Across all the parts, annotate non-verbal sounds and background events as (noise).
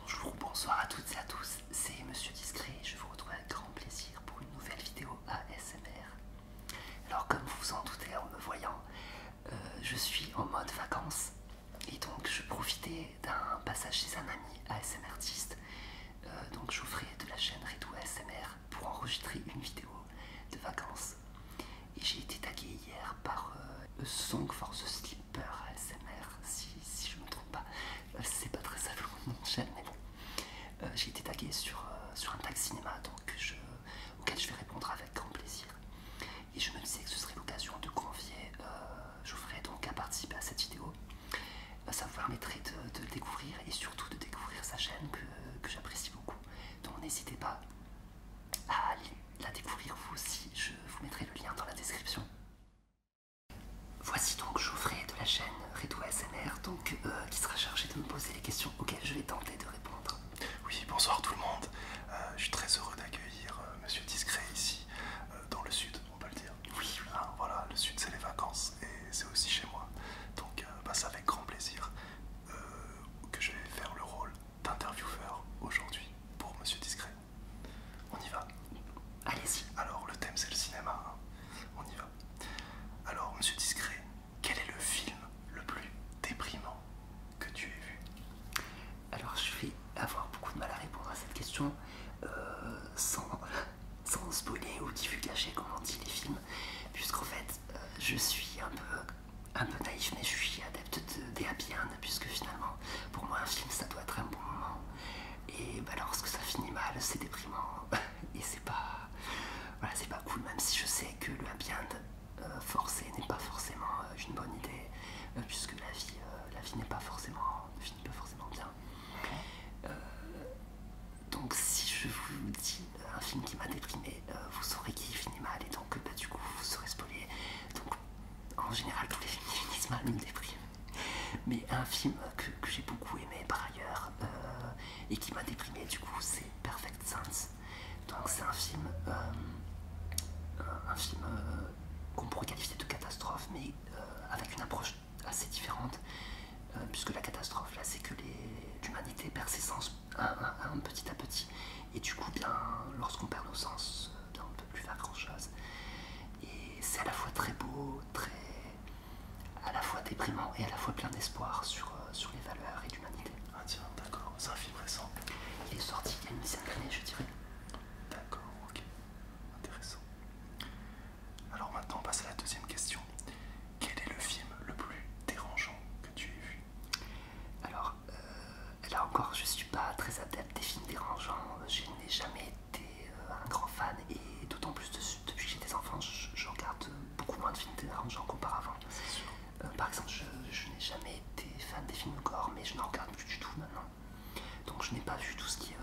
Bonjour, bonsoir à toutes et à tous, c'est Monsieur Discret et je vous retrouve avec grand plaisir pour une nouvelle vidéo ASMR. Alors comme vous vous en doutez en me voyant, euh, je suis en mode vacances et donc je profitais d'un passage chez un ami ASMR euh, donc je donc ferai de la chaîne Redou ASMR pour enregistrer une vidéo de vacances. Et j'ai été tagué hier par le euh, Song for the Sleeper S.M.R. si, je ne me trompe pas. Euh, c'est pas très savant mon chaîne, mais bon. Euh, j'ai été tagué sur, un tag cinéma donc auquel je vais répondre avec grand plaisir. Et je me disais que ce serait l'occasion de convier euh, Geoffrey donc à participer à cette vidéo. ça vous permettrait de, le découvrir et surtout de découvrir sa chaîne que j'apprécie beaucoup. Donc n'hésitez pas à aller la découvrir vous aussi, je vous mettrai le lien dans la description. Voici donc Geoffrey de la chaîne Redo SNR, donc, euh, qui sera chargé de me poser les questions auxquelles je vais tenter de répondre. Oui, bonsoir tout le monde. Euh, je suis très heureux d'accueillir euh, Monsieur Discret ici, dans le sud, on peut le dire. Oui, ah, voilà, le sud c'est les vacances et c'est aussi chez moi. Donc ça bah, avec grand plaisir euh, que je vais faire le rôle d'intervieweur aujourd'hui pour Monsieur Discret. On y va Allez-y. Alors, le thème c'est le cinéma. Hein. On y va. Alors, Monsieur Discret, quel est le film le plus déprimant que tu aies vu Alors, je vais avoir beaucoup de mal à répondre à cette question euh, sans, sans spoiler ou divulgager comment on dit les films, puisqu'en fait, euh, je suis un peu un peu naïf, mais je suis adepte des happy end, puisque finalement, pour moi, un film, ça doit être un bon moment. Et bah, lorsque ça finit mal, c'est déprimant. (laughs) Et c'est pas, c'est pas cool, même si je sais que le happy end euh, forcé n'est pas forcément euh, une bonne idée, euh, puisque la vie, la vie n'est pas forcément, ne finit pas forcément bien. donc si je vous dis un film qui m'a déprimé, euh, vous saurez qui finit mal et donc bah, du coup vous serez spoilé. Donc en général tous les films qui finissent mal me dépriment. Mais un film que, j'ai beaucoup aimé par ailleurs euh, et qui m'a déprimé du coup c'est Perfect Sense. Donc c'est un film, euh, un film qu'on pourrait qualifier de catastrophe mais avec une approche assez différente puisque la catastrophe là c'est que l'humanité perd ses sens un, petit à petit. Et du coup, bien, lorsqu'on perd nos sens, on ne peut plus faire grand-chose. Et c'est à la fois très beau, très à la fois déprimant et à la fois plein d'espoir sur, euh, sur les valeurs et l'humanité. Ah tiens, d'accord, c'est un film récent. Il est sorti il y a je dirais. D'accord, ok. Intéressant. Alors maintenant, on passe à la deuxième question. Quel est le film le plus dérangeant que tu aies vu alors, euh, là encore, je suis pas très adepte des films dérangeants. Je n'ai jamais été euh, un grand fan et d'autant plus depuis que j'ai des enfants, je, regarde beaucoup moins de films dérangeants qu'auparavant. Euh, par exemple, je, n'ai jamais été fan des films gore, mais je n'en regarde plus du tout maintenant. Donc je n'ai pas vu tout ce qui est...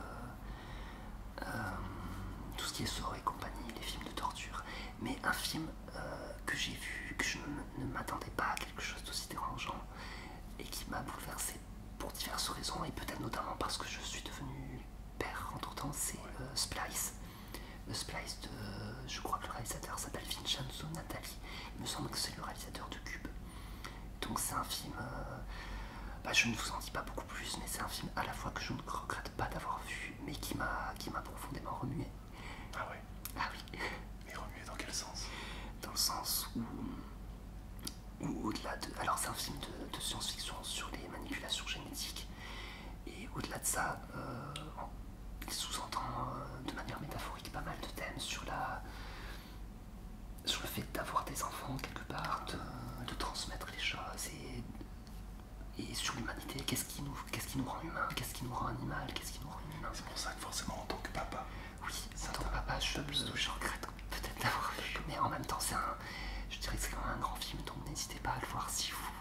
tout ce qui est et compagnie, les films de torture. Mais un film euh, que j'ai vu, que je ne, m'attendais pas à quelque chose d'aussi dérangeant et qui m'a bouleversé pour diverses raisons et peut-être notamment parce que je suis devenu père entre temps, c'est le euh, Splice. Le euh, Splice de, je crois que le réalisateur s'appelle Vincenzo nathalie il me semble que c'est le réalisateur de Cube. Donc c'est un film, bah, je ne vous en dis pas beaucoup plus, mais c'est un film à la fois que je ne regrette pas d'avoir vu, mais qui m'a profondément remué. Ah ouais Ah oui. Mais remuer dans quel sens Dans le sens où, ou au-delà de... Alors c'est un film de, science-fiction sur les manipulations génétiques. Et au-delà de ça, euh, il sous-entend euh, de manière métaphorique pas mal de thèmes sur la sur le fait d'avoir des enfants quelque part, de, transmettre les choses et, et sur l'humanité, qu'est-ce qui, nous rend humain Qu'est-ce qui nous rend animal Qu'est-ce qui nous rend humain C'est pour ça que forcément en tant que papa. Oui, en tant que papa, je, regrette peut-être d'avoir vu. Mais en même temps, c'est un. Je dirais que c'est quand même un grand film, donc n'hésitez pas à le voir si vous,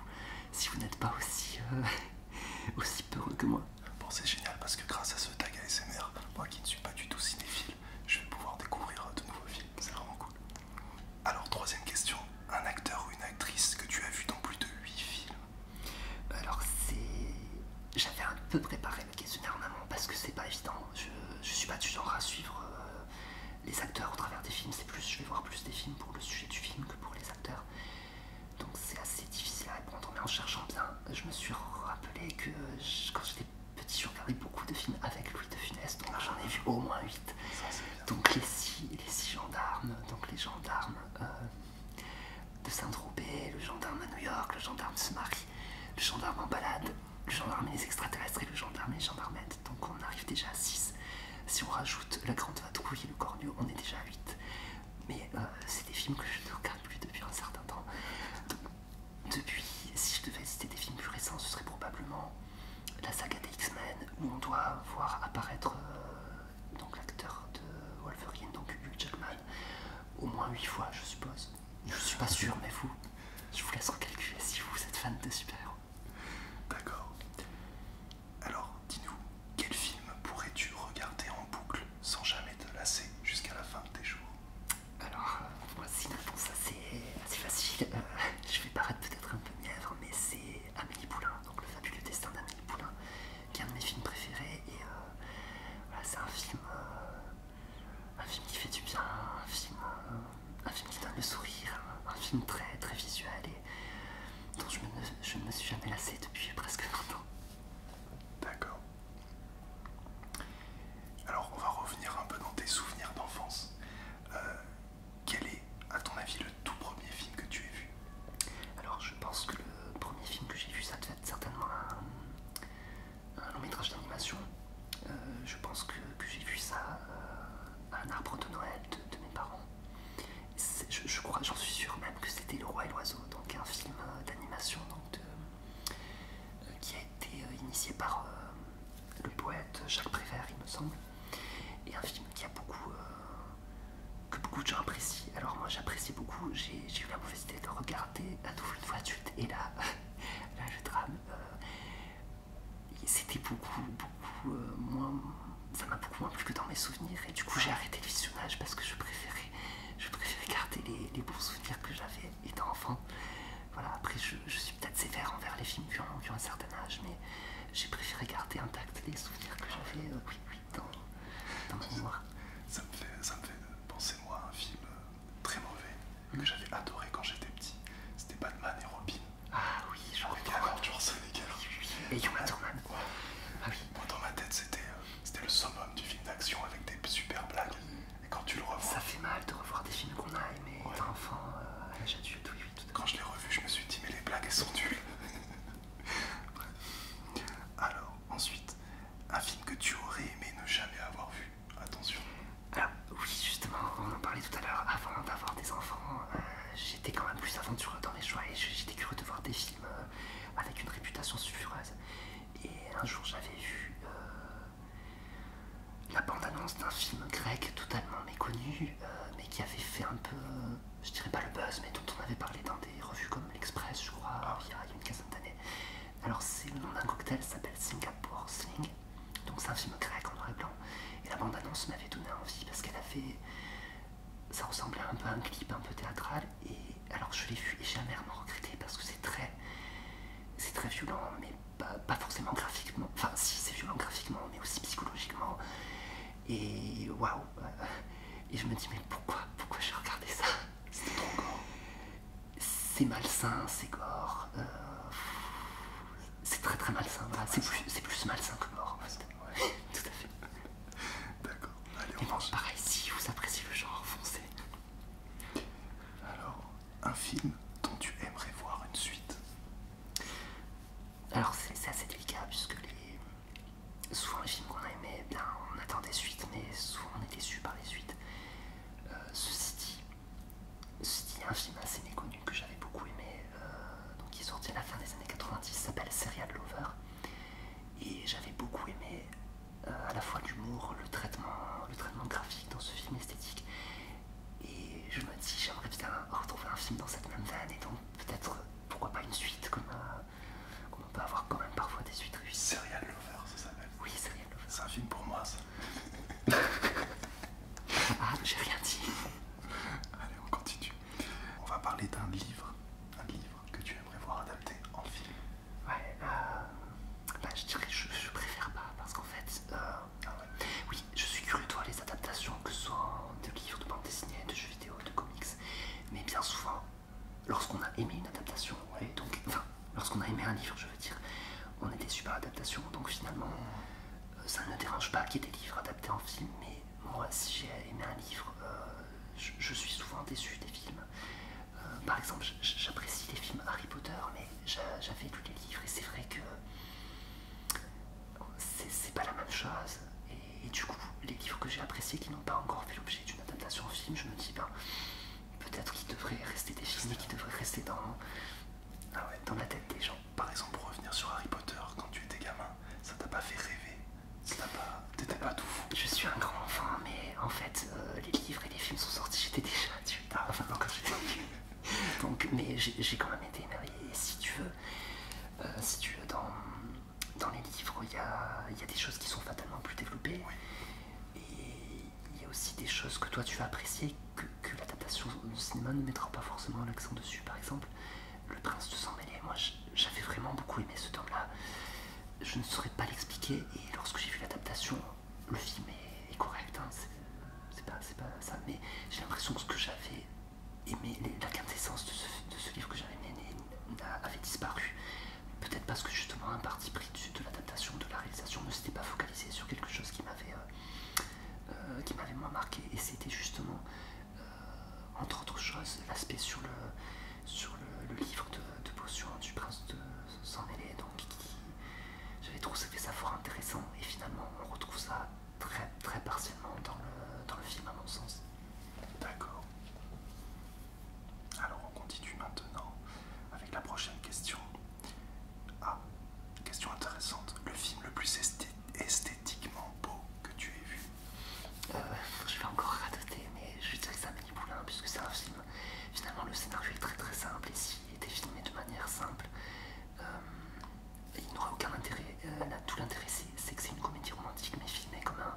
si vous n'êtes pas aussi, euh, (laughs) aussi peureux que moi. Bon, c'est génial parce que grâce à ce tag ASMR, moi qui ne suis pas du tout cinéphile, je vais pouvoir découvrir de nouveaux films. C'est vraiment cool. Alors, troisième question un acteur ou une actrice que tu as vu dans plus de 8 films alors c'est... J'avais un peu préparé le questionnaire en amont parce que c'est pas évident. Je, ne suis pas du genre à suivre euh, les acteurs au travers des films. C'est plus, je vais voir plus des films pour le sujet du film que pour les acteurs. Donc c'est assez difficile à répondre. Mais en cherchant bien, je me suis rappelé que quand j'étais petit, je regardais beaucoup de films avec Louis de Funès. Donc j'en ai vu au moins 8. donc les six, les gendarmes, donc les gendarmes, euh, de Saint-Tropez, le gendarme à New York, le gendarme se marie, le gendarme en balade, le gendarme et extraterrestres et le gendarme et les Donc on arrive déjà à 6. Si on rajoute La Grande Vadrouille et le Cornu, on est déjà à 8. Mais euh, c'est des films que je ne regarde plus depuis un certain temps. depuis, si je devais citer des films plus récents, ce serait probablement la saga des X-Men, où on doit voir apparaître euh, donc l'acteur de Wolverine, donc Hugh Jackman, au moins 8 fois, je suppose. Je suis pas sûr, mais vous, je vous laisse recalculer si vous êtes fan de super-héros. D'accord. Alors, dis-nous, quel film pourrais-tu regarder en boucle sans jamais te lasser jusqu'à la fin de tes jours Alors, euh, moi sinon ça ça assez, facile. Euh, je vais paraître peut-être un peu mièvre, mais c'est Amélie Poulain, donc le fabuleux destin d'Amélie Poulain qui est un de mes films préférés. Et euh, c'est un film. Euh, un film qui fait du bien, euh, un film, qui donne le sourire, un, film très très visuel et dont je, me, ne me suis jamais lassé depuis presque 20 ans. D'accord. Alors on va revenir un peu dans tes souvenirs d'enfance. quel est, à ton avis, le tout premier film que tu as vu Alors je pense que le premier film que j'ai vu, ça devait être certainement un, long métrage d'animation. Euh, je pense que, j'ai vu ça euh, à un arbre de Noël de, mes parents. Je, crois, j'en suis sûr même que c'était Le Roi et l'Oiseau, donc un film euh, d'animation donc qui a été initié par le poète Jacques Prévert, il me semble, et un film qui a beaucoup que beaucoup de gens apprécient. Alors moi j'apprécie beaucoup, j'ai eu la mauvaise idée de regarder à nouveau une fois de suite et là, (laughs) là le drame, c'était euh, beaucoup, beaucoup euh, moins, ça m'a beaucoup moins plu que dans mes souvenirs et du coup j'ai arrêté le visionnage parce que je préférais, je préférais garder les, bons souvenirs que j'avais étant enfant. Voilà, après je, suis peut-être sévère envers les films qui ont, un certain âge, mais j'ai préféré garder intact les souvenirs que j'avais. Euh, oui, oui. Ça me, fait, ça fait penser, moi, à un film euh, très mauvais mm. que j'avais adoré quand j'étais petit. C'était Batman et Robin. Ah oui, je reviens Et gars. Ah oui. Moi, dans ma tête, euh, c'était le summum du film d'action avec des super blagues. Et quand tu le revois. Ça fait mal de revoir des films qu'on a aimés, ouais. enfant, euh, à l'âge adulte, Quand je l'ai revu, je me suis dit, mais les blagues, elles sont nulles. (laughs) Alors, Ensuite, un film que tu aurais aimé ne jamais avoir vu. Attention. Ah, oui, justement, on en parlait tout à l'heure. Avant d'avoir des enfants, euh, j'étais quand même plus aventureux dans mes choix et j'étais curieux de voir des films euh, avec une réputation sulfureuse. Et un jour, j'avais vu euh, la bande-annonce d'un film grec totalement méconnu, mais qui avait fait un peu je dirais pas le buzz, mais dont on avait parlé dans des revues comme l'Express, je crois, ah. il, y a, une quinzaine d'années. Alors, c'est le nom d'un cocktail ça s'appelle Singapore Sling, donc c'est un film grec en noir et blanc. Et la bande-annonce m'avait donné envie parce qu'elle a fait... Ça ressemblait un peu à un clip un peu théâtral, et alors je l'ai vu et jamais me regretté parce que c'est très. C'est très violent, mais pas forcément graphiquement. Enfin, si c'est violent graphiquement, mais aussi psychologiquement. Et waouh euh, Et je me dis, mais pourquoi Pourquoi j'ai regardé ça C'est trop C'est malsain, c'est gore. Euh, c'est très très malsain. C'est plus, malsain que gore. En (laughs) Tout à fait. D'accord. Allez, on mange. Pareil, si vous appréciez le genre, foncez. Alors, un film dont tu aimerais voir une suite Alors, c'est assez délicat puisque les souvent les films qu'on a aimés, eh on attendait des suites, mais souvent on est déçu par les suites. Euh, ceci dit, un film assez méconnu que j'avais beaucoup aimé, euh, donc qui est sorti à la fin des années 90, s'appelle Serial Lover, et j'avais beaucoup aimé euh, à la fois l'humour, le traitement, le traitement graphique dans ce film esthétique, et je me dis j'aimerais bien retrouver un film dans cette même veine, et donc peut-être pourquoi pas une suite comme. On peut avoir quand même parfois des suites réussies. Serial Lover, ça s'appelle Oui, Serial Lover. C'est un film pour moi, ça. (laughs) ah, j'ai rien dit. Allez, on continue. On va parler d'un livre, un livre que tu aimerais voir adapté en film. Ouais, euh, bah, je dirais je, je préfère pas parce qu'en fait, euh, ah ouais. oui, je suis curieux de voir les adaptations que ce soit de livres, de bandes dessinées, de jeux vidéo, de comics, mais bien souvent, lorsqu'on a aimé une adaptation, donc, enfin, lorsqu'on a aimé un livre, je veux dire, on est déçu par l'adaptation, donc finalement, euh, ça ne dérange pas qu'il y ait des livres adaptés en film, mais moi, si j'ai aimé un livre, euh, je, suis souvent déçu des films. Euh, par exemple, j'apprécie les films Harry Potter, mais j'avais lu les livres, et c'est vrai que c'est pas la même chose. Et du coup, les livres que j'ai appréciés qui n'ont pas encore fait l'objet d'une adaptation au film, je me dis, ben, peut-être qu'ils devraient rester des films et qu'ils devraient rester dans, ah ouais. dans la tête des gens. Par exemple, pour revenir sur Harry Potter, quand tu étais gamin, ça t'a pas fait rêver T'étais pas, pas tout fou Je suis un grand enfant, mais en fait, euh, les livres et les films sont sortis, j'étais déjà adulte. Hein. enfin, quand j'étais (laughs) Donc, mais j'ai quand même été émerveillé. Et si tu veux, euh, si tu veux, dans dans les livres, il y a, des choses qui sont fatalement plus développées. Et il y a aussi des choses que toi tu vas apprécier que, l'adaptation de cinéma ne mettra pas forcément l'accent dessus. Par exemple, Le Prince de sang mêlé. Moi, j'avais vraiment beaucoup aimé ce tome-là. Je ne saurais pas l'expliquer. Et lorsque j'ai vu l'adaptation, le film est, correct. Hein. c'est pas, pas, ça. Mais j'ai l'impression que ce que j'avais aimé, la quintessence de ce, de ce livre que j'avais aimé, avait disparu. Peut-être parce que justement un parti pris de l'adaptation, de la réalisation ne s'était pas focalisé sur quelque chose qui m'avait euh, euh, moins marqué. Et c'était justement, euh, entre autres choses, l'aspect sur le, sur le, livre de, de Potion du prince de saint donc qui, j'avais trouvé ça fort intéressant. Et finalement, on retrouve ça très, très partiellement dans le film, à mon sens. D'accord. Alors on continue maintenant avec la prochaine question. Ah, question intéressante. Le film le plus esthétiquement beau que tu aies vu euh, Je vais encore radoter, mais je dirais que c'est un boulin, puisque c'est un film. Finalement, le scénario est très très simple et s'il était filmé de manière simple, euh, il n'aurait aucun intérêt. Euh, à tout l'intérêt, c'est que c'est une comédie romantique mais filmée comme un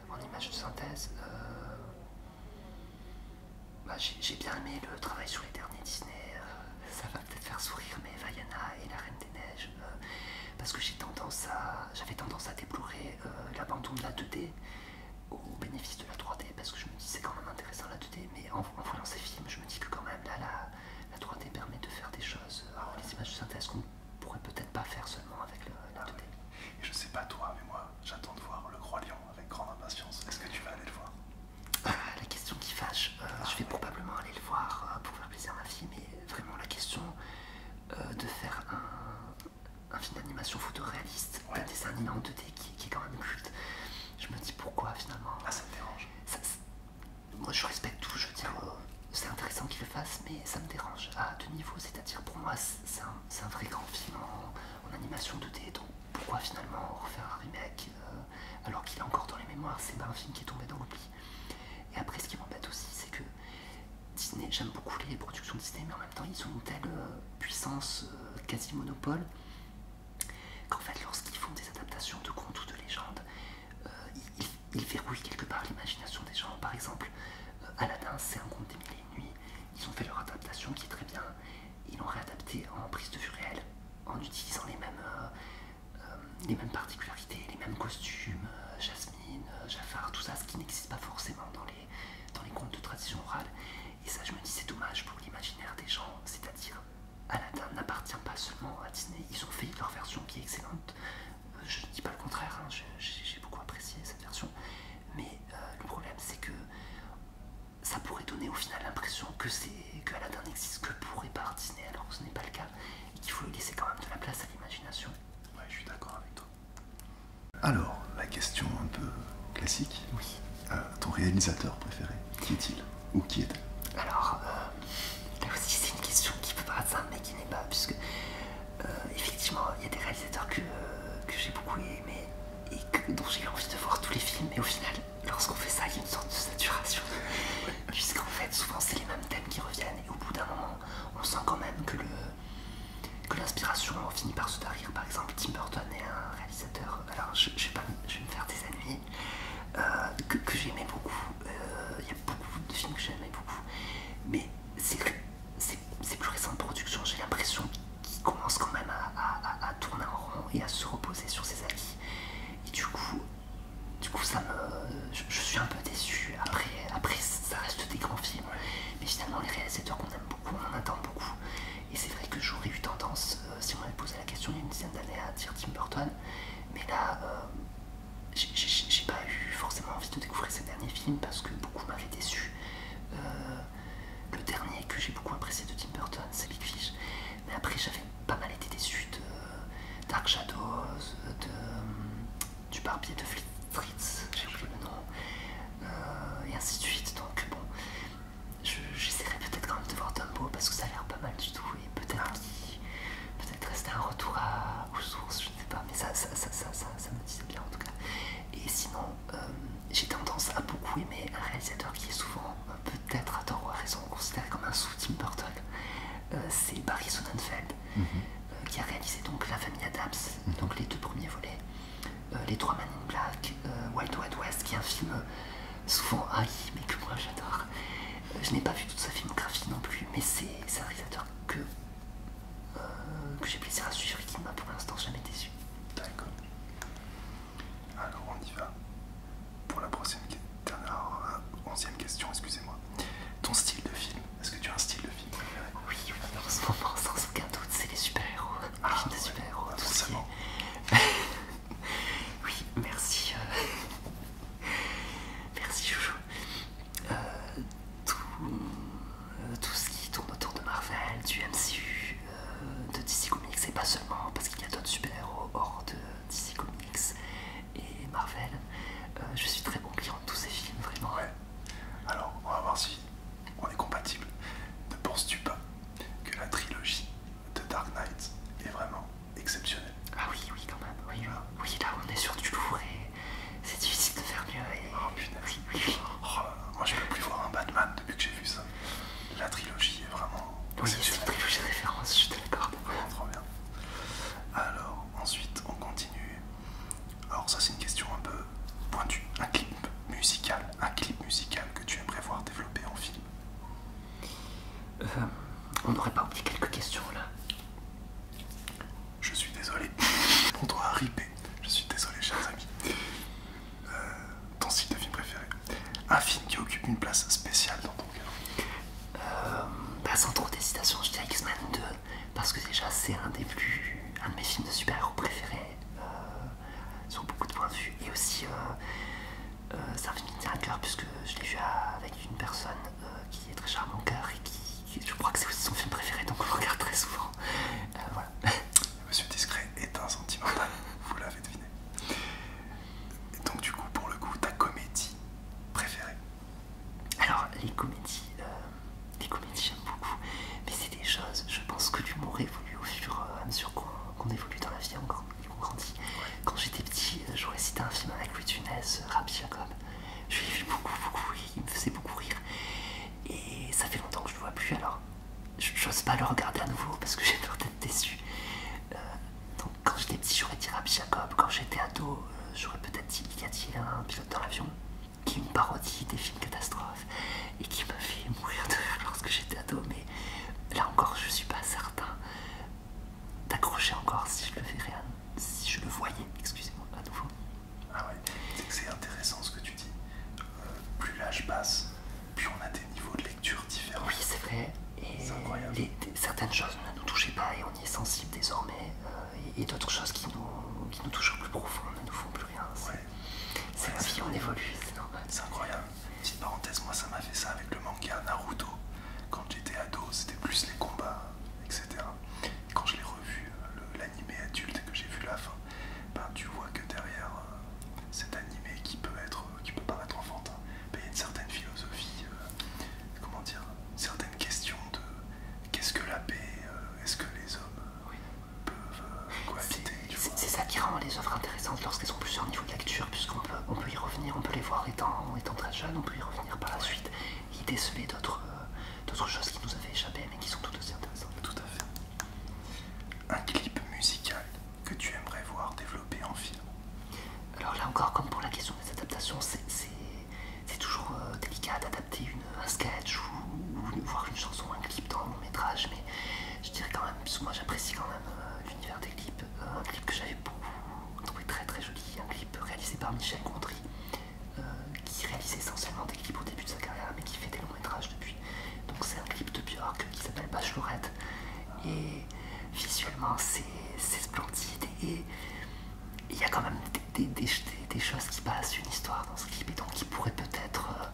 en images de synthèse. Euh, bah, j'ai bien aimé le travail sur les derniers Disney. Euh, ça va peut-être faire sourire, mais Vaiana et la Reine des Neiges. Euh, parce que j'avais tendance, tendance à déplorer l'abandon de la 2D au bénéfice de la 3D parce que je me dis c'est quand même intéressant la 2D mais en, voyant ces films je me dis que quand même là la, la 3D permet de faire des choses alors les images de synthèse qu'on pourrait peut-être pas faire seulement avec le, 2D. Ah je sais pas toi, mais moi, j'attends de voir le Croyant avec grande impatience. Est-ce que tu vas aller le voir ah, La question qui fâche, euh, ah je vais probablement aller le voir euh, pour faire plaisir à ma fille, mais vraiment la question euh, de faire un, film d'animation photoréaliste, réaliste, un dessin animé en 2D qui, est quand même culte, je me dis pourquoi finalement. ça dérange. moi, je respecte tout, je veux dire, c'est intéressant qu'il le fasse, mais ça me dérange à deux niveaux, c'est-à-dire pour moi, c'est un c'est un vrai grand film en, animation de d donc pourquoi finalement refaire un remake euh, alors qu'il est encore dans les mémoires C'est pas un film qui est tombé dans l'oubli. Et après, ce qui m'embête aussi, c'est que Disney, j'aime beaucoup les productions Disney, mais en même temps, ils ont une telle euh, puissance euh, quasi monopole qu'en fait, lorsqu'ils font des adaptations de contes ou de légendes, ils, verrouillent quelque part l'imagination des gens. Par exemple, Aladdin, c'est un conte des mille et nuits. Ils ont fait leur adaptation qui est très bien. Ils l'ont réadapté en prise de vue réelle, en utilisant les mêmes, euh, euh, les mêmes particularités, les mêmes costumes, euh, Jasmine, Jafar, tout ça, ce qui n'existe pas forcément dans les, dans les contes de tradition orale. Et ça, je me dis, c'est dommage pour l'imaginaire des gens, c'est-à-dire Aladdin n'appartient pas seulement à Disney, ils ont fait leur version qui est excellente. Je ne dis pas le contraire, hein. j'ai beaucoup apprécié cette version, mais euh, le problème c'est que ça pourrait donner au final l'impression que c'est que Aladdin n'existe que pour et par Disney alors que ce n'est pas le cas et qu'il faut laisser quand même de la place à l'imagination. Ouais, je suis d'accord avec toi. Alors, la question un peu classique. Oui. Euh, ton réalisateur préféré, qui est-il ou qui est-elle Alors, euh, là aussi c'est une question qui peut paraître simple mais qui n'est pas puisque euh, effectivement, il y a des réalisateurs que, euh, que j'ai beaucoup aimé et dont j'ai eu envie de voir tous les films, mais au final, lorsqu'on fait ça, il y a une sorte de saturation. (laughs) Puisqu'en fait, souvent, c'est les mêmes thèmes qui reviennent, et au bout d'un moment, on sent quand même que l'inspiration finit par se tarir. Par exemple, Tim Burton est un réalisateur, alors je, vais, pas, je me faire des ennuis, euh, que, j'ai aimé beaucoup. Il y a beaucoup de films que j'ai aimé beaucoup, mais c'est que ces plus récentes productions, j'ai l'impression qu'il commence quand même à, tourner en rond et à se reposer sur ses avis. Et du coup, du coup ça me, je, suis un peu déçu. Après, après, ça reste des grands films. Mais finalement, les réalisateurs qu'on aime beaucoup, on attend beaucoup. Et c'est vrai que j'aurais eu tendance, euh, si on m'avait posé la question il y a une dizaine d'années, à dire Tim Burton. Mais là, euh, j'ai pas eu forcément envie de découvrir ces derniers films parce que beaucoup m'avaient déçu. Euh, euh, le dernier que j'ai beaucoup apprécié de Tim Burton, c'est Big Fish. Mais après, j'avais pas mal été déçu de euh, Dark Shadows, euh, de, du barbier de Fritz, j'ai oublié le nom, et ainsi de suite. Donc, bon, j'essaierai peut-être quand même de voir Dumbo parce que ça a l'air pas mal du tout. Et peut-être ah. peut-être rester un retour à, aux sources, je ne sais pas, mais ça, ça me disait bien en tout cas. Et sinon, euh, j'ai tendance à beaucoup aimer un réalisateur qui est souvent, euh, peut-être à tort ou à raison, considéré comme un sous Tim Burton. Euh, c'est Barry Sonnenfeld mhm. qui a réalisé donc La Famille Adams, mhm. donc les deux premiers volets, Les Trois Men in Black, Wild West, qui est un film souvent haï, mais que moi j'adore. je n'ai pas vu toute sa filmographie non plus, mais c'est un réalisateur que euh, que j'ai plaisir à suivre et qui ne m'a pour l'instant jamais déçu. D'accord. Alors ah, on y va. Pour la prochaine dernière, euh, onzième question, excusez-moi. Ton style de film, est-ce que tu as un style de film préféré Oui, malheureusement, en sans aucun doute, c'est les super-héros. Ah, les super-héros, ah, forcément. (laughs) oui, merci. Euh, (laughs) merci Joujou tout, euh, tout ce qui tourne autour de Marvel, du MCU, euh, de DC Comics, et pas seulement parce qu'il y a d'autres super-héros hors de DC Comics et Marvel. Euh, je suis très bon client de tous ces films, vraiment. Ouais. Alors, on va voir si on est compatible. Ne penses-tu pas que la trilogie de Dark Knight est vraiment exceptionnelle Ah oui, oui, quand même. Ah. Oui, là, on est sur du lourd et c'est difficile de faire mieux. Oh, Oh, moi, je peux plus voir un Batman depuis que j'ai vu ça. La trilogie est vraiment. c'est une trilogie de référence, je te d'accord. bien. Alors, ensuite, on continue. Alors, ça, c'est une question un peu pointue. Un clip musical, un clip musical que tu aimerais voir développer en film euh, On n'aurait pas oublié quelques questions là. Je suis désolé. On doit ripper je suis désolé, chers amis. Euh, ton style de film préféré Un film qui occupe une place spéciale dans ton cœur euh, bah, Sans trop d'hésitation, je dirais X-Men 2, parce que déjà, c'est un des plus. un de mes films de super-héros préférés, euh, sur beaucoup de points de vue, et aussi. c'est un film qui me tient à cœur puisque je l'ai vu avec une personne qui est très chère à mon cœur et qui, je crois que c'est aussi son film préféré donc on le regarde très souvent. voilà. (laughs) Monsieur Discret est un sentimental, (laughs) vous l'avez deviné. Et donc du coup, pour le coup, ta comédie préférée Alors, les comédies, euh, les comédies j'aime beaucoup, mais c'est des choses, je pense que l'humour évolue au fur et à mesure qu'on évolue dans la vie, qu'on grandit. Quand j'étais petit, euh, j'aurais cité un film avec Louis Tunès, euh, Rabbi Jacob. Je l'ai vu beaucoup, beaucoup, et il me faisait beaucoup rire. Et ça fait longtemps que je ne le vois plus alors j'ose pas le regarder à nouveau parce que j'ai peur d'être déçu. Euh, donc, quand j'étais petit, j'aurais dit Rabbi Jacob. Quand j'étais ado, euh, j'aurais peut-être dit Y a un pilote dans l'avion qui me parodie des films catastrophes et qui m'a fait mourir de rire lorsque j'étais ado. Mais là encore, je suis pas certain d'accrocher encore si je le si je le voyais, excusez-moi, à nouveau. Ah ouais, c'est intéressant ce que tu dis. Euh, plus l'âge passe, plus on a des niveaux de lecture différents. Oui, c'est vrai. Et certaines choses ne nous touchaient pas et on y est sensible désormais. Euh, et, d'autres choses qui nous, touchent au plus profond ne nous font plus rien. C'est ouais. la on évolue, c'est normal. C'est incroyable. Petite parenthèse, moi ça m'a fait ça avec le manga Naruto. Quand j'étais ado, c'était plus les combats, etc. quand je l'ai revu, euh, animé adulte que j'ai vu la fin, ben, tu vois que derrière euh, cet animé qui peut être, euh, paraître enfantin, ben, il y a une certaine philosophie, euh, comment dire, certaines questions de qu'est-ce que la paix, est-ce que les hommes peuvent cohabiter C'est ça qui rend les œuvres intéressantes lorsqu'elles sont plus plusieurs niveau de lecture, puisqu'on peut, on peut y revenir, on peut les voir étant, étant très jeunes, on peut y revenir par la suite et déceler d'autres. d'autres choses qui nous avaient échappé mais qui sont toutes aussi intéressantes. Tout à fait. Un clip musical que tu aimerais voir développer en film Alors là encore, comme pour la question des adaptations, c'est toujours euh, délicat d'adapter un sketch ou, voir une chanson, un clip dans un long métrage, mais je dirais quand même, parce moi j'apprécie quand même euh, l'univers des clips, euh, un clip que j'avais beaucoup trouvé très très joli, un clip réalisé par Michel Gondry, qui réalise essentiellement des clips au début de sa carrière, mais qui fait des métrage depuis. Donc c'est un clip de Björk qui s'appelle Bachelorette. Et visuellement c'est splendide. Et il y a quand même des, choses qui passent, une histoire dans ce clip. Et donc il pourrait peut-être euh,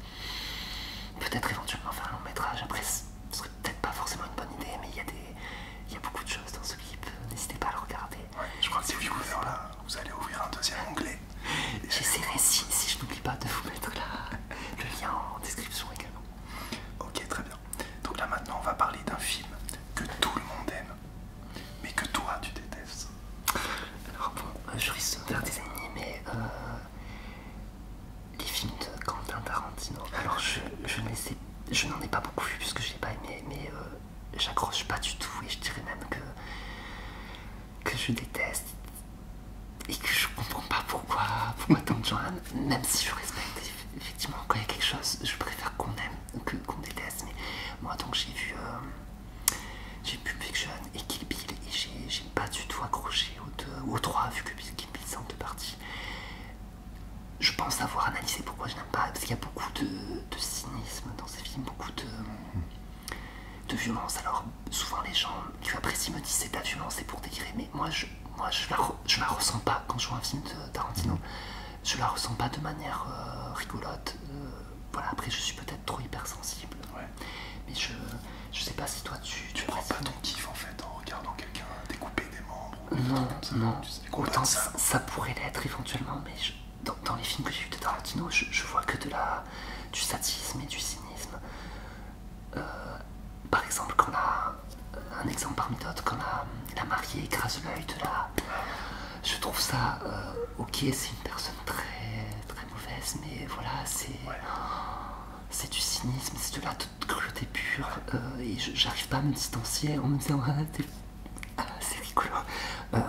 peut-être éventuellement faire un long métrage. Après ce serait peut-être pas forcément une bonne idée, mais il y a des. beaucoup de choses dans ce clip, n'hésitez pas à le regarder. je crois que si vous, voulez là, vous allez ouvrir un deuxième onglet (laughs) J'essaierai si, si je n'oublie pas de vous mettre le lien en description également. Ok, très bien. Donc là maintenant, on va parler d'un film que tout le monde aime, mais que toi tu détestes. Alors bon, euh, je risque de faire des animés, mais euh, les films de Quentin Tarantino. Alors je, ne je n'en ai pas beaucoup vu puisque je l'ai pas aimé, mais euh, j'accroche pas du tout et je dirais même que que je déteste et que je comprends pas pourquoi, pourquoi tant que même si je respecte effectivement quand il y a quelque chose, je préfère qu'on aime que qu'on déteste. Mais moi donc j'ai vu euh, j'ai j'ai Pulp Fiction et Kill Bill et j'ai pas du tout accroché aux deux aux trois vu que Kill Bill c'est en deux parties. Je pense avoir analysé pourquoi je n'aime pas, parce qu'il y a beaucoup de, de cynisme dans ces films, beaucoup de. Hmm de violence. Alors souvent les gens qui apprécient me disent c'est de la violence, c'est pour dégrimer mais moi je moi je la, ressens pas quand je vois un film de Tarantino, je la ressens pas de manière euh, rigolote. Euh, voilà, après je suis peut-être trop hypersensible. Mais je, sais pas si toi tu. Tu prends pas ton kiff en fait en regardant quelqu'un découper des membres Non, non. Autant ça, pourrait l'être éventuellement, mais dans, les films que j'ai de Tarantino, je, vois que de la, du sadisme et du cynisme. Euh, par exemple, qu'on a euh, un exemple parmi d'autres, qu'on a euh, la mariée écrase l'œil de la. Je trouve ça ok, c'est une personne très mauvaise, mais voilà, c'est c'est du cynisme, c'est de la cruauté pure, et j'arrive pas à me distancier en me disant ah, ah, c'est rigolo. non,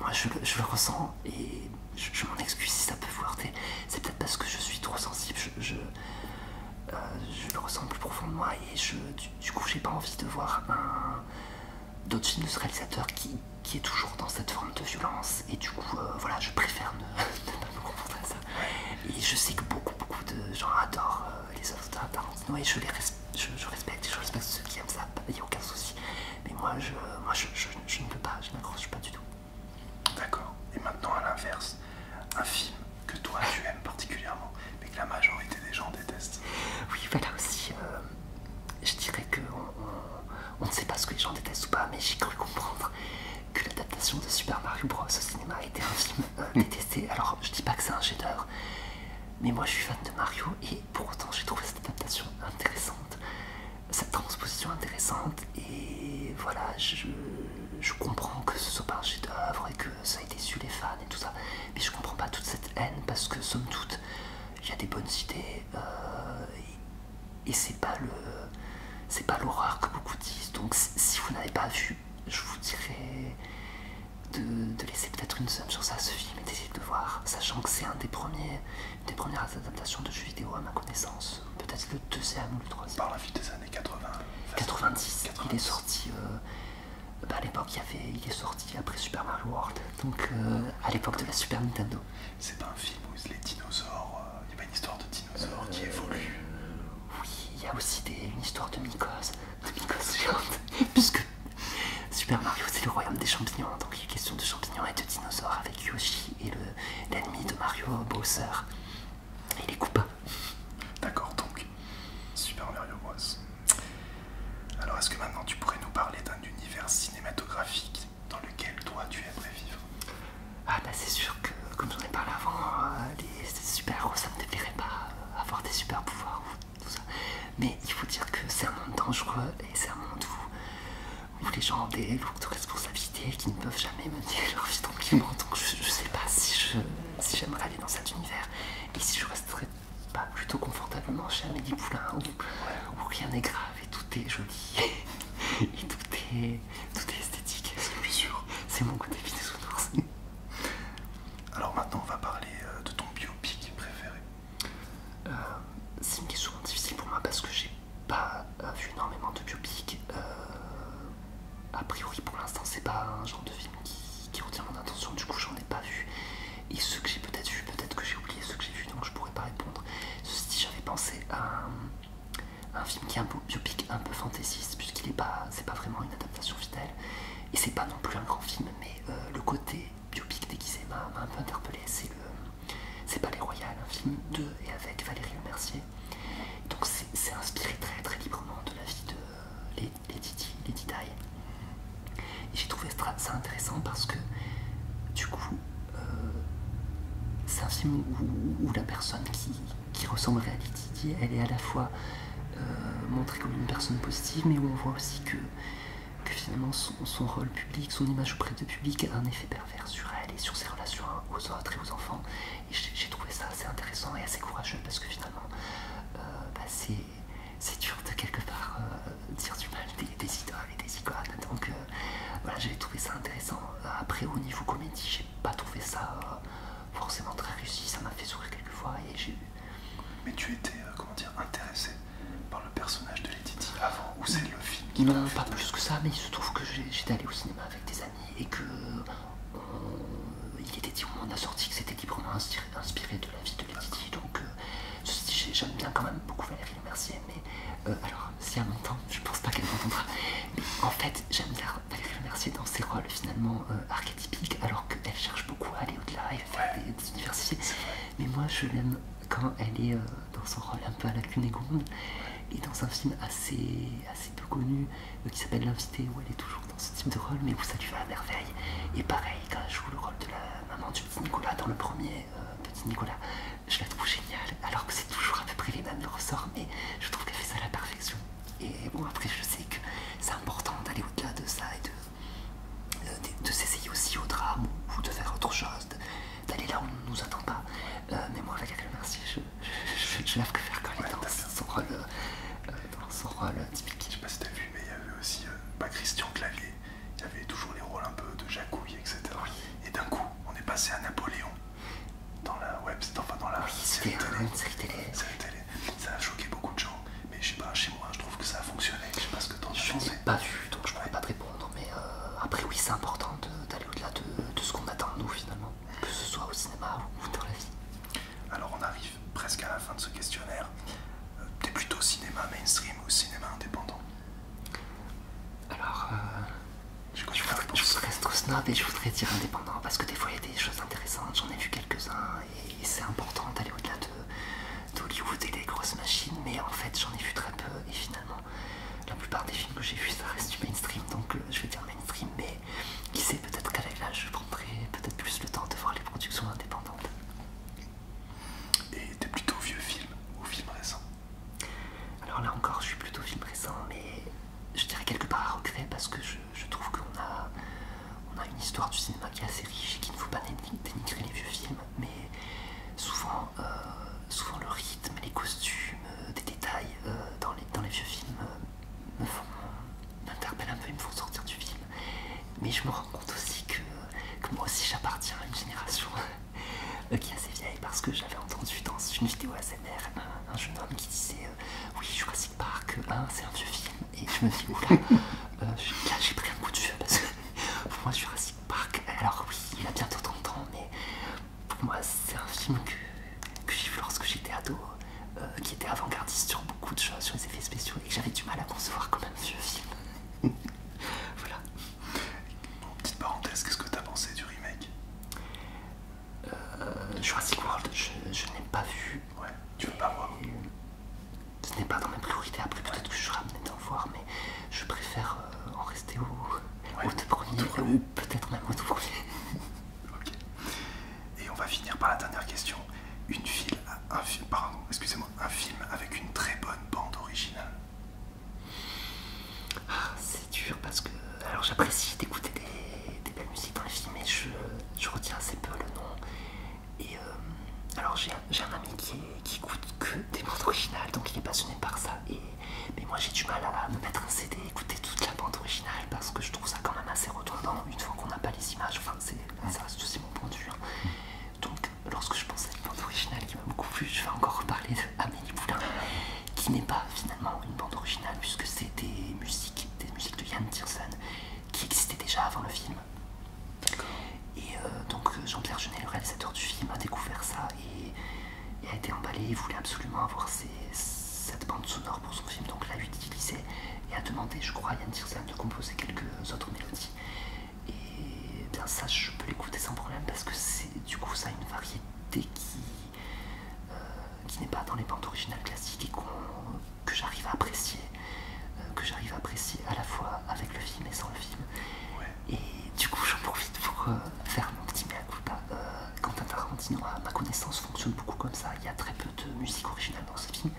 moi je, je le ressens et je, m'en excuse si ça peut vous heurter. C'est peut-être parce que je suis trop sensible. Je, euh, le ressens plus profond moi et je, du, coup, j'ai pas envie de voir d'autres films de ce réalisateur qui, est toujours dans cette forme de violence. Et du coup, euh, voilà, je préfère (laughs) ne, pas me confronter à ça. Et je sais que beaucoup, beaucoup de gens adorent euh, les œuvres de Tarantino et je les respecte. Je, respecte, je respecte ceux qui aiment ça, il n'y a aucun souci. Mais moi, je, ne peux pas, je m'accroche pas du tout. D'accord. Et maintenant, à l'inverse, un film que toi tu aimes particulièrement, mais que la majorité des gens détestent. Oui, voilà aussi. Euh, je dirais que on, ne sait pas ce que les gens détestent ou pas, mais j'ai cru comprendre que l'adaptation de Super Mario Bros au cinéma était un film euh, hmm. détesté. Alors, je dis pas que c'est un chef mais moi je suis fan de Mario et pour autant j'ai trouvé cette adaptation intéressante cette transposition intéressante et voilà je, comprends que ce soit pas un chef d'œuvre et que ça ait déçu les fans et tout ça mais je comprends pas toute cette haine parce que somme toute il y a des bonnes idées euh, et, c'est pas le c'est pas l'horreur que beaucoup disent donc si vous n'avez pas vu je vous dirais de, de laisser peut-être une somme sur ça à ce film et d'essayer de le voir sachant que c'est un des premiers des premières adaptations de jeux vidéo à ma connaissance. Peut-être le deuxième ou le troisième. Par la suite des années 80. 90. Il est sorti. Euh, bah, à l'époque, il, avait, il est sorti après Super Mario World, donc euh, à l'époque de la Super Nintendo. C'est pas un film où les dinosaures, euh, il y a pas une histoire de dinosaures qui évolue Oui, il y a aussi des, une histoire de mycoses, de mycoses (laughs) puisque Super Mario c'est le royaume des champignons, donc il est question de champignons et de dinosaures avec Yoshi et le l'ennemi de Mario Bowser. Il les coupable D'accord, donc Super Mario Bros. Alors, est-ce que maintenant tu pourrais nous parler d'un univers cinématographique dans lequel toi tu aimerais vivre Ah, bah c'est sûr que, comme j'en ai parlé avant, euh, les super-héros ça me déplairait pas, euh, avoir des super-pouvoirs ou tout ça. Mais il faut dire que c'est un monde dangereux et c'est un monde où où les gens ont des lourdes responsabilités qui ne peuvent jamais mener leur vie tranquillement. Donc je, sais pas si je si j'aimerais aller dans cet univers et si je resterais pas plutôt confortablement chez Amélie Poulain où, rien n'est grave et tout est joli (laughs) et tout est, esthétique. C'est C'est mon côté (laughs) Alors maintenant on va parler euh, de ton biopic préféré. Euh, c'est une question difficile pour moi parce que j'ai pas euh, vu énormément de biopics. Euh, a priori, pour l'instant, c'est pas un genre de film qui, retient mon attention, du coup, j'en ai pas vu. Et ceux que j'ai peut-être vu, peut-être que j'ai oublié ceux que j'ai vu, donc je pourrais pas répondre. Ceci j'avais pensé à un, film qui est un peu biopic, un peu fantaisiste, puisqu'il est pas, c'est pas vraiment une adaptation fidèle. Et c'est pas non plus un grand film, mais euh, le côté biopic déguisé m'a un peu interpellé. C'est le c'est les Royal, un hein, film de et avec Valérie Lemercier. Mercier. Donc c'est inspiré très très librement de la vie de euh, les j'ai trouvé ça intéressant parce que du coup, euh, c'est un film où, la personne qui, qui à Lady Didier, elle est à la fois euh, montrée comme une personne positive, mais où on voit aussi que, finalement son, rôle public, son image auprès du public a un effet faire sur elle et sur ses relations aux autres et aux enfants. Et j'ai trouvé ça assez intéressant et assez courageux parce que finalement, euh, bah, c'est dur de quelque part euh, dire du mal des, idoles et des icônes. Donc euh, voilà, j'ai trouvé ça intéressant. Après, au niveau comédie, j'ai pas trouvé ça forcément très réussi. Ça m'a fait sourire quelques fois et j'ai Mais tu étais, comment dire, intéressé par le personnage de Lady avant ou c'est le film qui Non, pas plus que ça, mais il se trouve que j'étais allé au cinéma des amis et que euh, il était dit au moment de sortie que c'était librement inspiré, de la vie de Lady donc euh, j'aime bien quand même beaucoup Valérie Mercier mais euh, alors si elle m'entend je pense pas qu'elle m'entendra mais en fait j'aime bien Valérie Mercier dans ses rôles finalement archétypique archétypiques alors qu'elle cherche beaucoup à aller au-delà et à faire des, universités mais moi je l'aime quand elle est dans son rôle un peu à la Cunégonde et dans un film assez, assez peu connu euh, qui s'appelle L'invité où elle est toujours dans ce type de rôle mais où ça lui va à merveille et pareil quand elle joue le rôle de la maman du petit Nicolas dans le premier euh, petit Nicolas je la trouve géniale alors que c'est toujours à peu près les mêmes ressorts mais je trouve qu'elle fait ça à la perfection et bon après je sais que c'est important d'aller au-delà de ça et de euh, de s'essayer aussi au drame ou de faire autre chose, d'aller là où on ne nous attend pas. mais moi, la je, je faire quand même dans, son rôle, dans Je sais pas si t'as vu, mais il y avait aussi Christian Clavier, il y avait toujours les rôles un peu de jacouille, etc. Et d'un coup, on est passé à Napoléon dans la web, dans la série, télé. Ça a choqué beaucoup de gens, mais je sais pas, chez moi, je trouve que ça a fonctionné. Je sais pas ce que t'en as pas vu, donc je pourrais pas te répondre, mais après, oui, c'est important d'aller au-delà de, de ce qu'on attend de nous finalement que ce soit au cinéma ou dans la vie. Alors on arrive presque à la fin de ce questionnaire. Euh, t'es plutôt cinéma mainstream ou cinéma indépendant Alors, euh, je, voudrais, être snob et je voudrais dire indépendant parce que des fois il y a des choses intéressantes, j'en ai vu quelques-uns et, c'est important d'aller au-delà d'Hollywood et des grosses machines, mais en fait j'en ai vu très peu et finalement la plupart des films que j'ai vu, ça reste du mainstream, donc euh, je vais dire mainstream, mais qui sait, peut-être qu'à l'âge, je prendrai peut-être plus le temps de voir les productions indépendantes. Et de plutôt vieux films ou films récents Alors là encore, je suis plutôt film récent, mais je dirais quelque part à regret parce que je, trouve qu'on a, on a une histoire du cinéma qui est assez riche et qu'il ne faut pas dénigrer les vieux films, mais souvent, euh, souvent le rire mais les costumes, les euh, des détails euh, dans, les, vieux films euh, me font m'interpellent un peu, ils me font sortir du film. Mais je me rends compte aussi que, moi aussi j'appartiens à une génération qui est assez vieille parce que j'avais entendu dans une vidéo ASMR un, jeune homme qui disait Oui, Jurassic Park 1, c'est un vieux film. Et je me suis dit là j'ai pris un coup de vieux parce que pour moi Jurassic Park, alors oui, il a bientôt 30 ans, mais pour moi, c'est un film que, j'ai vu lorsque j'étais ado, euh, qui était avant-gardiste sur beaucoup de choses, sur les effets spéciaux, et que j'avais du mal à concevoir comme un vieux film. (laughs) voilà. petite parenthèse, qu'est-ce que t'as pensé du remake euh, Jurassic World, je, ne n'ai pas vu. Ouais, tu veux pas voir Ce n'est pas dans mes priorités, après peut-être que je serai amené d'en voir, mais je préfère euh, en rester au, deux premiers, peut-être même au tout (laughs) ok. Et on va finir par la dernière question. Une file, un film, pardon, excusez-moi, un film avec une très bonne bande originale. Ah, c'est dur parce que alors j'apprécie d'écouter des, belles musiques dans les films, mais je, retiens assez peu le nom. Et euh, alors j'ai un ami qui, qui écoute que des bandes originales, donc il est passionné par ça. Et mais moi j'ai du mal à me mettre un CD et écouter toute la bande originale parce que je trouve ça quand même assez redondant une fois qu'on n'a pas les images, enfin c'est c'est mon point de vue. Hein. Mm. Donc lorsque je pense à une bande originale qui m'a beaucoup plu, je vais encore reparler Amélie Poulain qui n'est pas finalement une bande originale puisque c'est des musiques, des musiques de Yann Tiersen qui existaient déjà avant le film. Et euh, donc Jean-Pierre Jeunet, le réalisateur du film, a découvert ça et il a été emballé, il voulait absolument avoir cette bande sonore pour son film, donc l'a utilisé et a demandé, je crois, à Yann Tirzan de composer quelques autres mélodies. Et bien ça, je peux l'écouter sans problème parce que c'est du coup, ça a une variété qui, euh, qui n'est pas dans les bandes originales classiques et que j'arrive à apprécier, euh, que j'arrive à apprécier à la fois avec le film et sans le film. Et du coup, j'en profite pour euh, faire mon petit mea culpa Quentin Tarantino, ma connaissance, fonctionne beaucoup comme ça. Il y a très peu de musique originale dans ce film.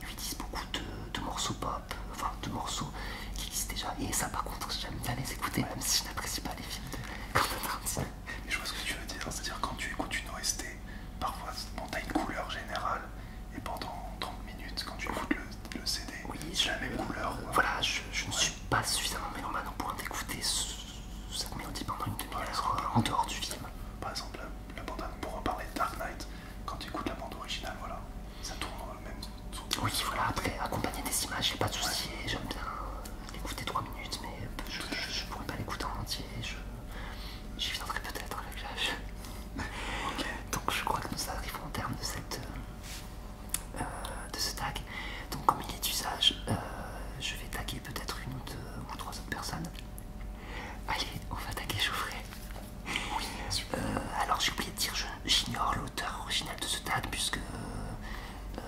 Ils utilisent beaucoup de, morceaux pop, enfin de morceaux qui existent déjà. Et ça, par contre, j'aime bien les écouter, même si je n'apprécie pas les films de Quentin Tarantino. Mais je vois ce que tu veux dire, c'est-à-dire quand tu écoutes une OST, parfois tu t'as une couleur générale, et pendant 30 minutes, quand tu écoutes le, CD, c'est la même couleur. voilà, je, ne suis pas suffisamment mélomane au point d'écouter ce ça mélodie pendant une demi-heure en dehors du film. Par exemple, la, la pour reparler de Dark Knight, quand tu écoutes la bande originale, voilà, ça tourne le même Oui, voilà, après, accompagner des images, j'ai pas de souci, j'aime bien euh, l'écouter 3 minutes, mais je, pourrais pas l'écouter en entier, j'y viendrais peut-être avec l'âge. Donc je crois que nous arrivons au terme de, cette, euh, euh, de ce tag. Donc comme il est d'usage, je vais taguer peut-être une ou deux ou trois autres personnes. Allez, on va taguer Geoffrey. Oui, sûr euh, alors j'ai oublié de dire, j'ignore l'auteur original de ce tag puisque, euh, euh,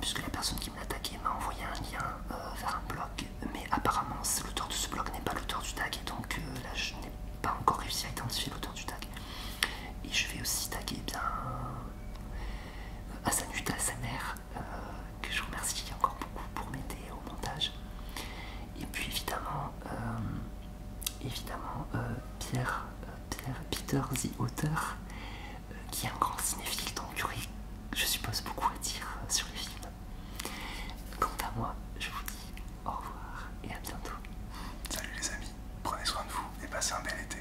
puisque la personne qui me l'a attaqué m'a envoyé un lien vers un blog, mais apparemment l'auteur de ce blog n'est pas l'auteur du tag et donc là je n'ai pas encore réussi à identifier l'auteur du tag. Et je vais aussi taguer eh bien à sa sa mère. Euh, que je remercie encore beaucoup pour m'aider au montage. Et puis évidemment, euh, évidemment euh, Pierre, Pierre, Peter the Auteur, qui est un grand cinéphile, donc il y aurait, je suppose, beaucoup à dire sur les films. Quant à moi, je vous dis au revoir et à bientôt. Salut les amis, prenez soin de vous et passez un bel été.